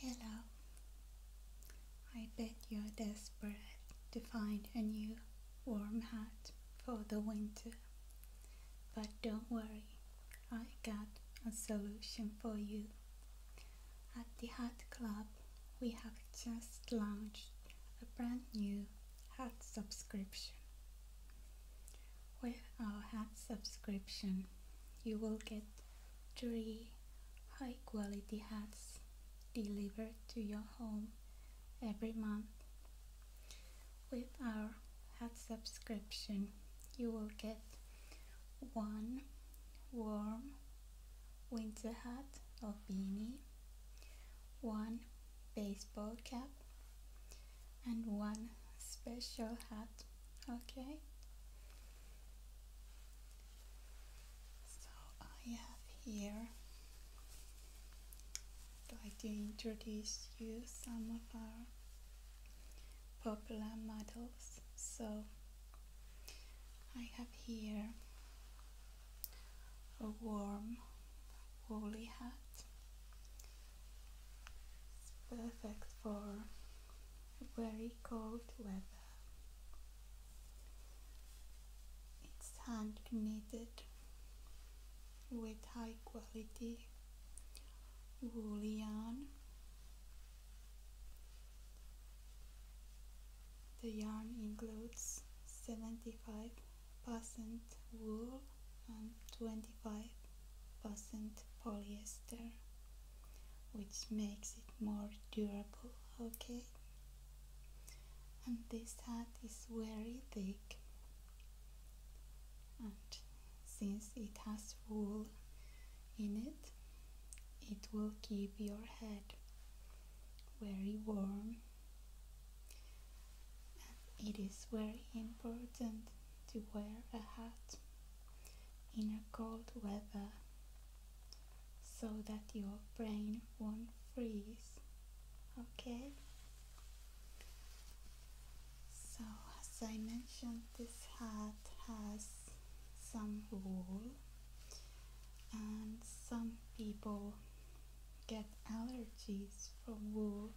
Hello. I bet you're desperate to find a new warm hat for the winter. But don't worry, I got a solution for you. At the Hat Club, we have just launched a brand new hat subscription. With our hat subscription, you will get three high quality hats delivered to your home every month. With our hat subscription, you will get one warm winter hat or beanie, one baseball cap, and one special hat. Okay, so I have here I'd like to introduce you some of our popular models. So I have here a warm woolly hat. It's perfect for very cold weather. It's hand knitted with high quality wool yarn. The yarn includes 75% wool and 25% polyester which makes it more durable okay and this hat is very thick and since it has wool in it it will keep your head very warm and it is very important to wear a hat in a cold weather so that your brain won't freeze. Okay? So, as I mentioned, this hat has some wool, and some people get allergies from wool.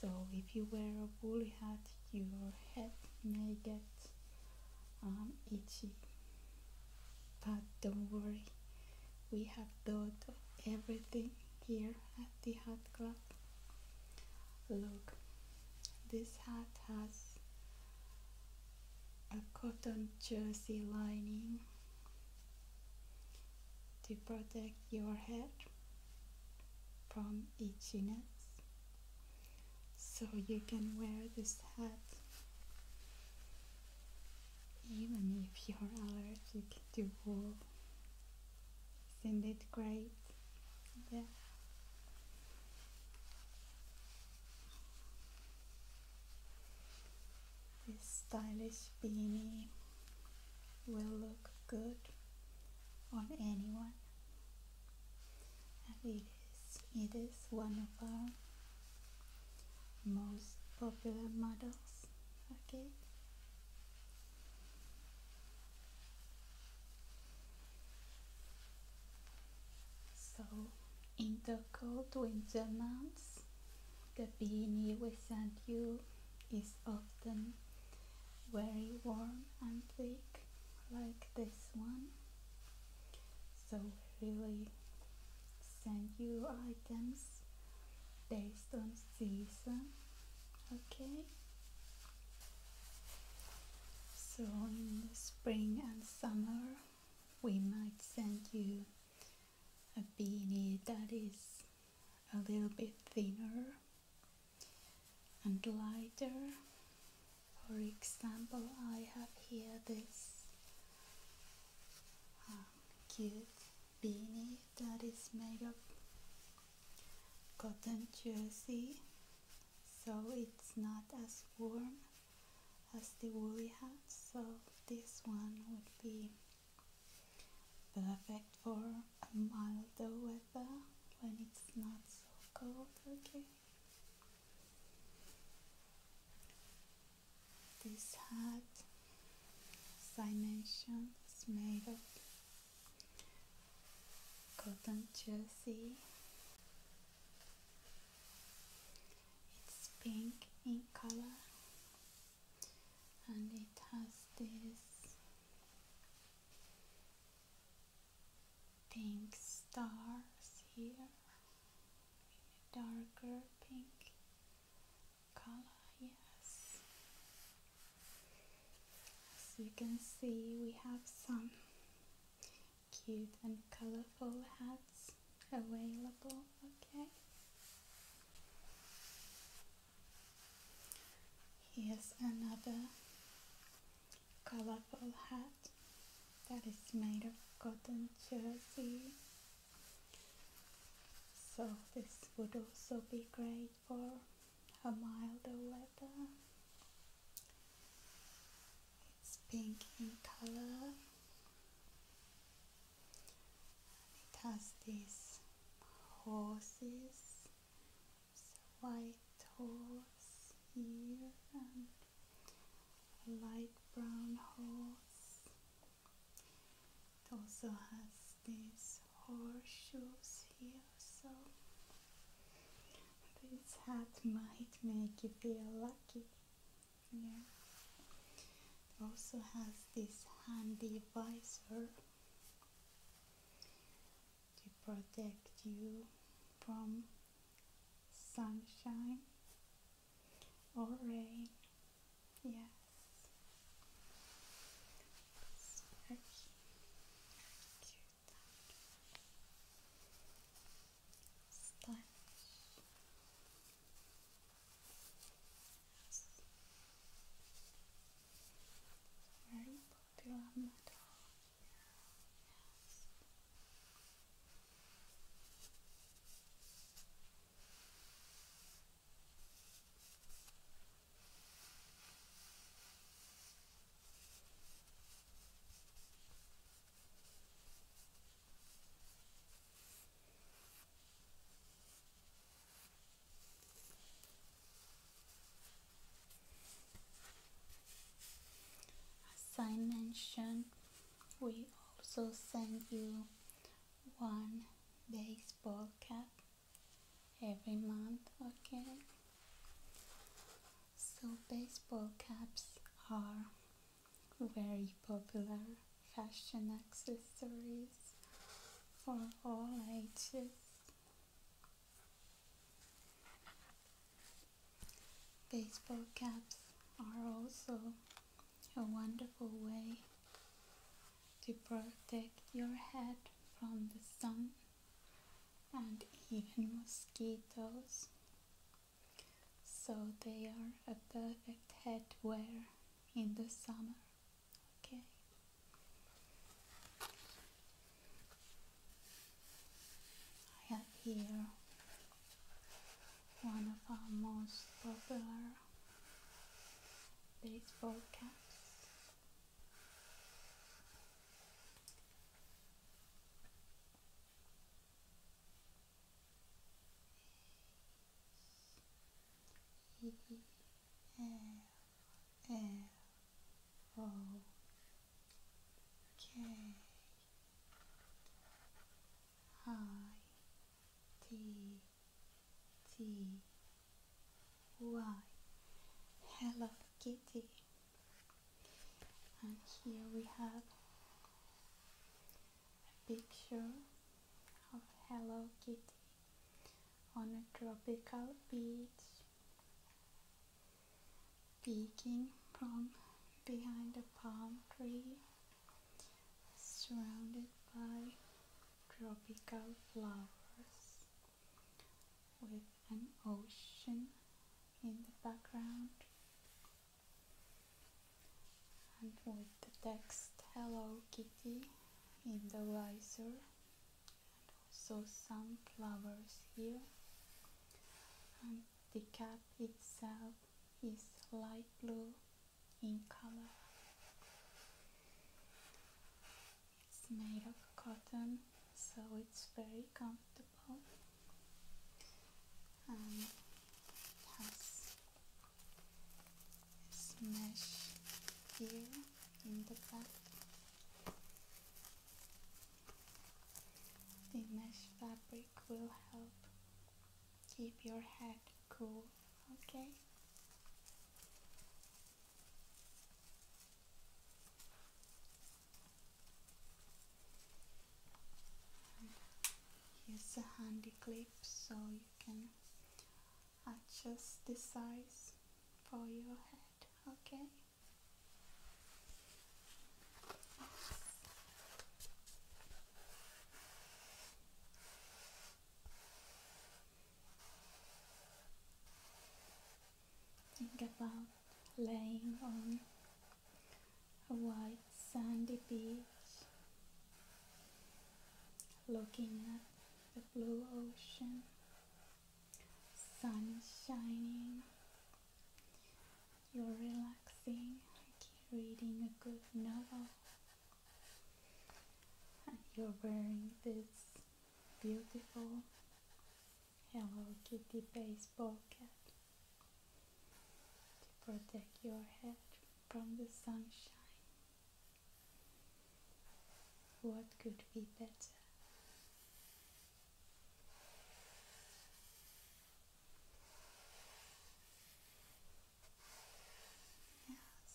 So, if you wear a woolly hat, your head may get I'm um, itchy. But don't worry, we have thought of everything here at the Hat Club. Look, this hat has a cotton jersey lining to protect your head from itchiness, so you can wear this hat even if you're allergic to wool isn't it great yeah this stylish beanie will look good on anyone and it is, it is one of our most popular models okay so in the cold winter months the beanie we sent you is often very warm and thick like this one so really send you items based on season okay so in the spring and summer we might send you a beanie that is a little bit thinner and lighter. For example, I have here this ah, cute beanie that is made of cotton jersey so it's not as warm as the woolly hats. so this one would be perfect for a milder weather when it's not so cold, okay? This hat, as is made of cotton jersey. It's pink in color and it has this pink stars here darker pink color yes as you can see we have some cute and colorful hats available okay here's another colorful hat that is made of cotton jersey. So this would also be great for a milder weather. It's pink in color. It has these horses white horse here and a light brown horse. It also has these horseshoes here, so this hat might make you feel lucky. Yeah. It also has this handy visor to protect you from sunshine or rain. Yes. It's very, very cute. Stylish. Very popular metal. Yes. As I mentioned, we also send you one baseball cap every month, okay? So baseball caps are very popular fashion accessories for all ages. Baseball caps are also a wonderful way to protect your head from the sun and even mosquitoes. So they are a perfect headwear in the summer. Okay. I have here one of our most popular baseball caps. He, L O K I T T Y Hello Kitty and here we have a picture of Hello Kitty on a tropical beach Speaking from behind a palm tree surrounded by tropical flowers with an ocean in the background and with the text Hello Kitty in the visor and also some flowers here and the cap itself is light blue in color it's made of cotton so it's very comfortable and has mesh here in the back. The mesh fabric will help keep your head cool, okay? here's a handy clip so you can adjust the size for your head, okay? Think about laying on a white sandy beach, looking at the blue ocean sun is shining, you're relaxing, like reading a good novel, and you're wearing this beautiful Hello Kitty face pocket to protect your head from the sunshine. What could be better? Yes,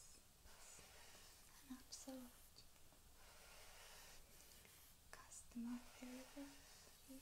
an absolute customer service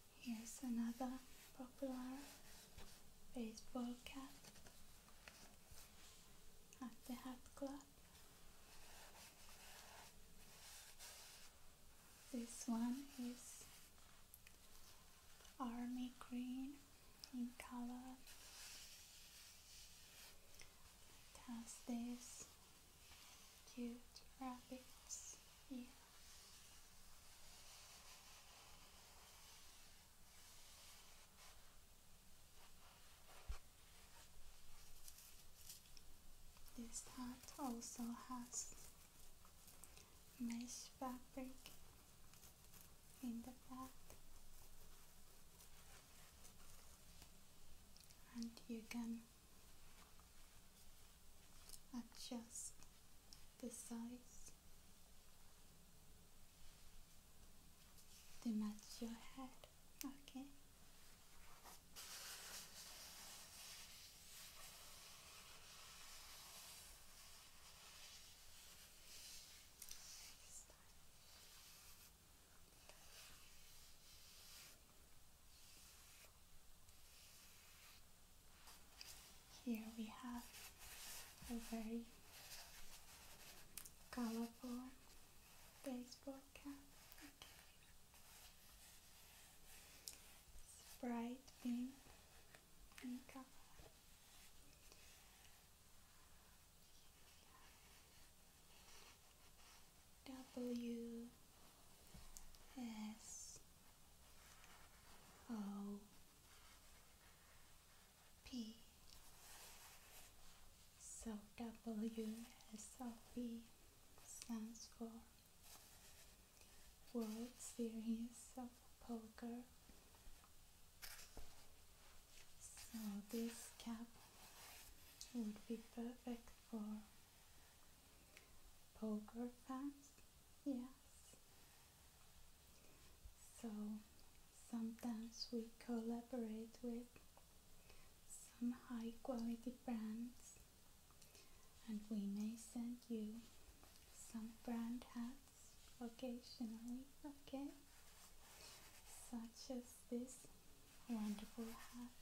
Here's another popular baseball cap at the hat club. This one is army green in color. has these cute rabbits ears. This hat also has mesh fabric in the back and you can adjust the size to match your head, okay? Here we have a very colorful baseball cap. bright in color. W S O P so W S O P stands for World Series of Poker so this cap would be perfect for poker fans, yes. So sometimes we collaborate with some high quality brands and we may send you some brand hats occasionally, okay? Such as this wonderful hat.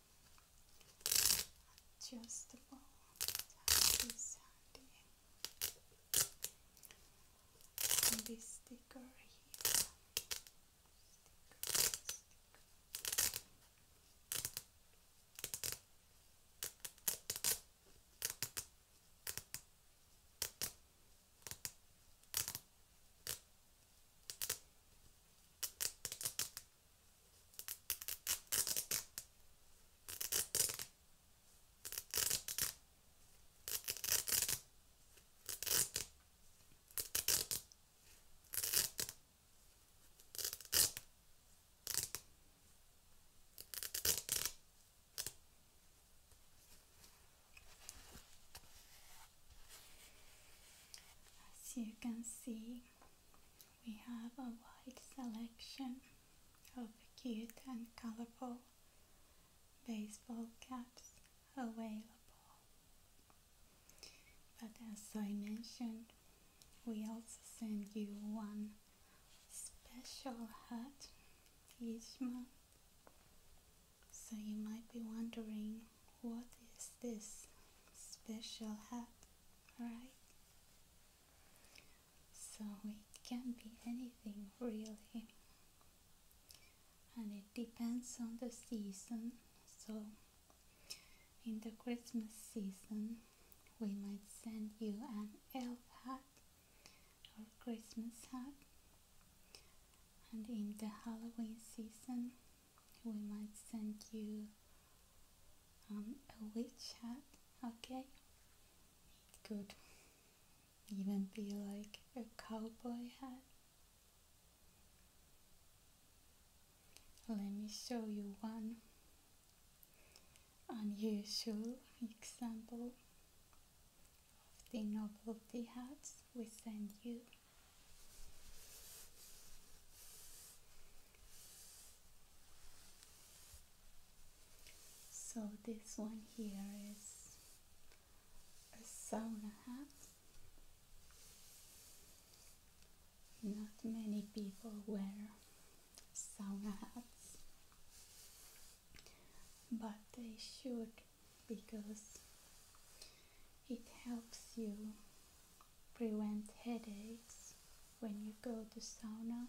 adjustable happy sandy and this sticker here as you can see, we have a wide selection of cute and colorful baseball caps available. But as I mentioned, we also send you one special hat each month. So you might be wondering what is this special hat, right? So it can be anything really, and it depends on the season. So, in the Christmas season, we might send you an elf hat or Christmas hat, and in the Halloween season, we might send you um, a hat, okay? It could even be like a cowboy hat. Let me show you one unusual example of the novelty hats we send you. So this one here is a sauna hat. Not many people wear sauna hats, but they should because it helps you prevent headaches when you go to sauna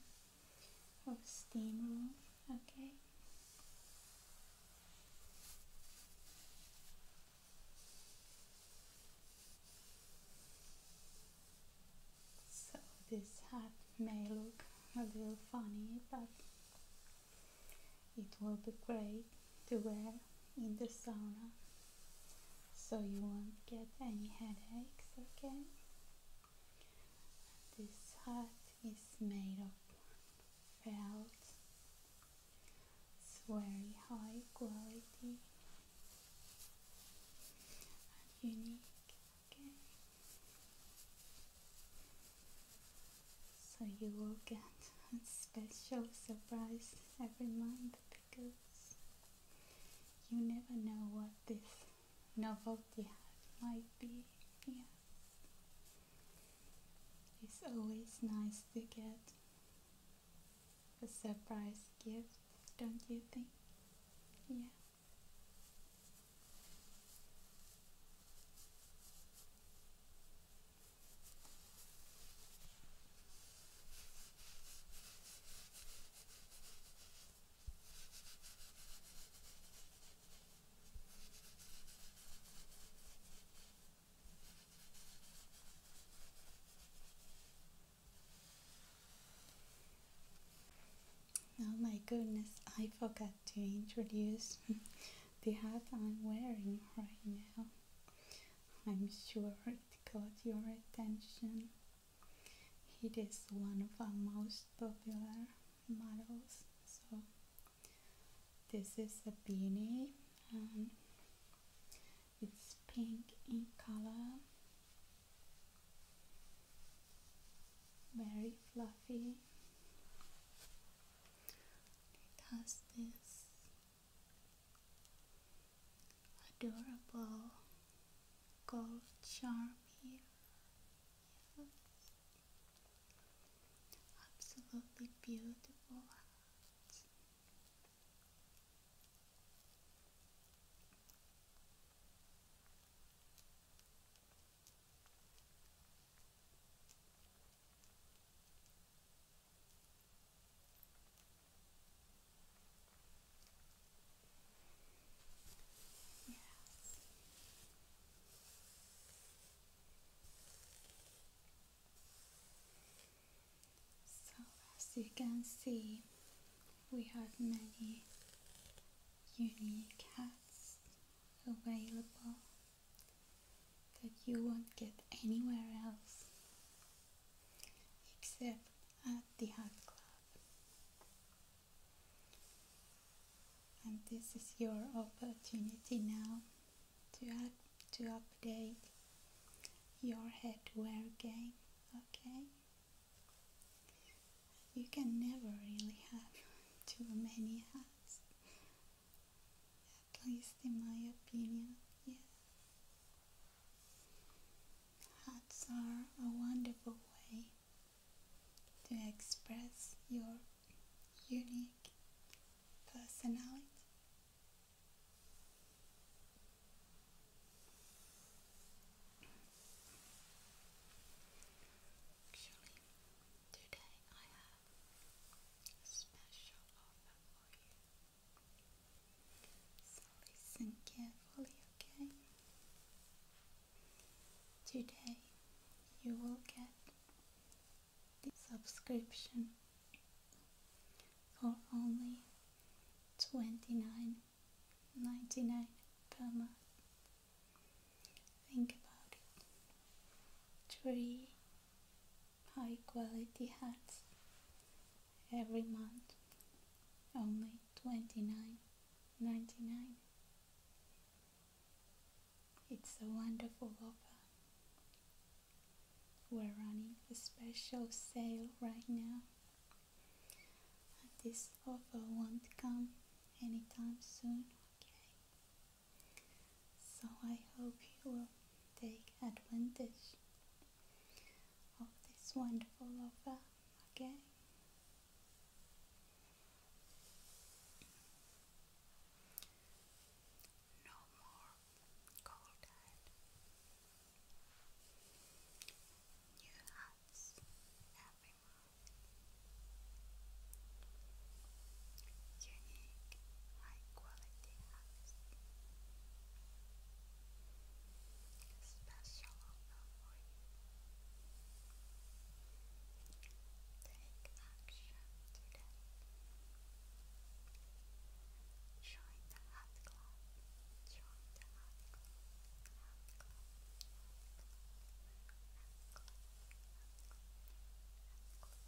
or steam room okay so this hat may look a little funny but it will be great to wear in the sauna so you won't get any headaches, okay? This hat is made of felt, it's very high quality and unique, okay? So you will get a special surprise every month because you never know what this novelty hat might be. Yeah. It's always nice to get a surprise gift, don't you think? Yeah. Oh my goodness, I forgot to introduce the hat I'm wearing right now. I'm sure it caught your attention. It is one of our most popular models. So, this is a beanie it's pink in color, very fluffy. It has this adorable gold charm here. Absolutely beautiful so as you can see, we have many unique hats available that you won't get anywhere else except at the hot club. And this is your opportunity now to add, to update your headwear game, okay? You can never really have too many hats at least in my opinion, yes. Hats are a wonderful way to express your unique personality. Actually, today I have a special offer for you. So listen carefully, okay? Today you will get the subscription for only twenty nine ninety nine per month. Think about it. Three high quality hats every month only twenty nine ninety nine. It's a wonderful offer. We're running a special sale right now. This offer won't come anytime soon, okay? So I hope you will take advantage of this wonderful offer, again. No more cold hand. New hats every Unique, high quality special offer for you. Take action today. Join the Hot Club. Join the Hot Club. Hot Club. Hot Club. Hot Club. Hot Club. Hot Club.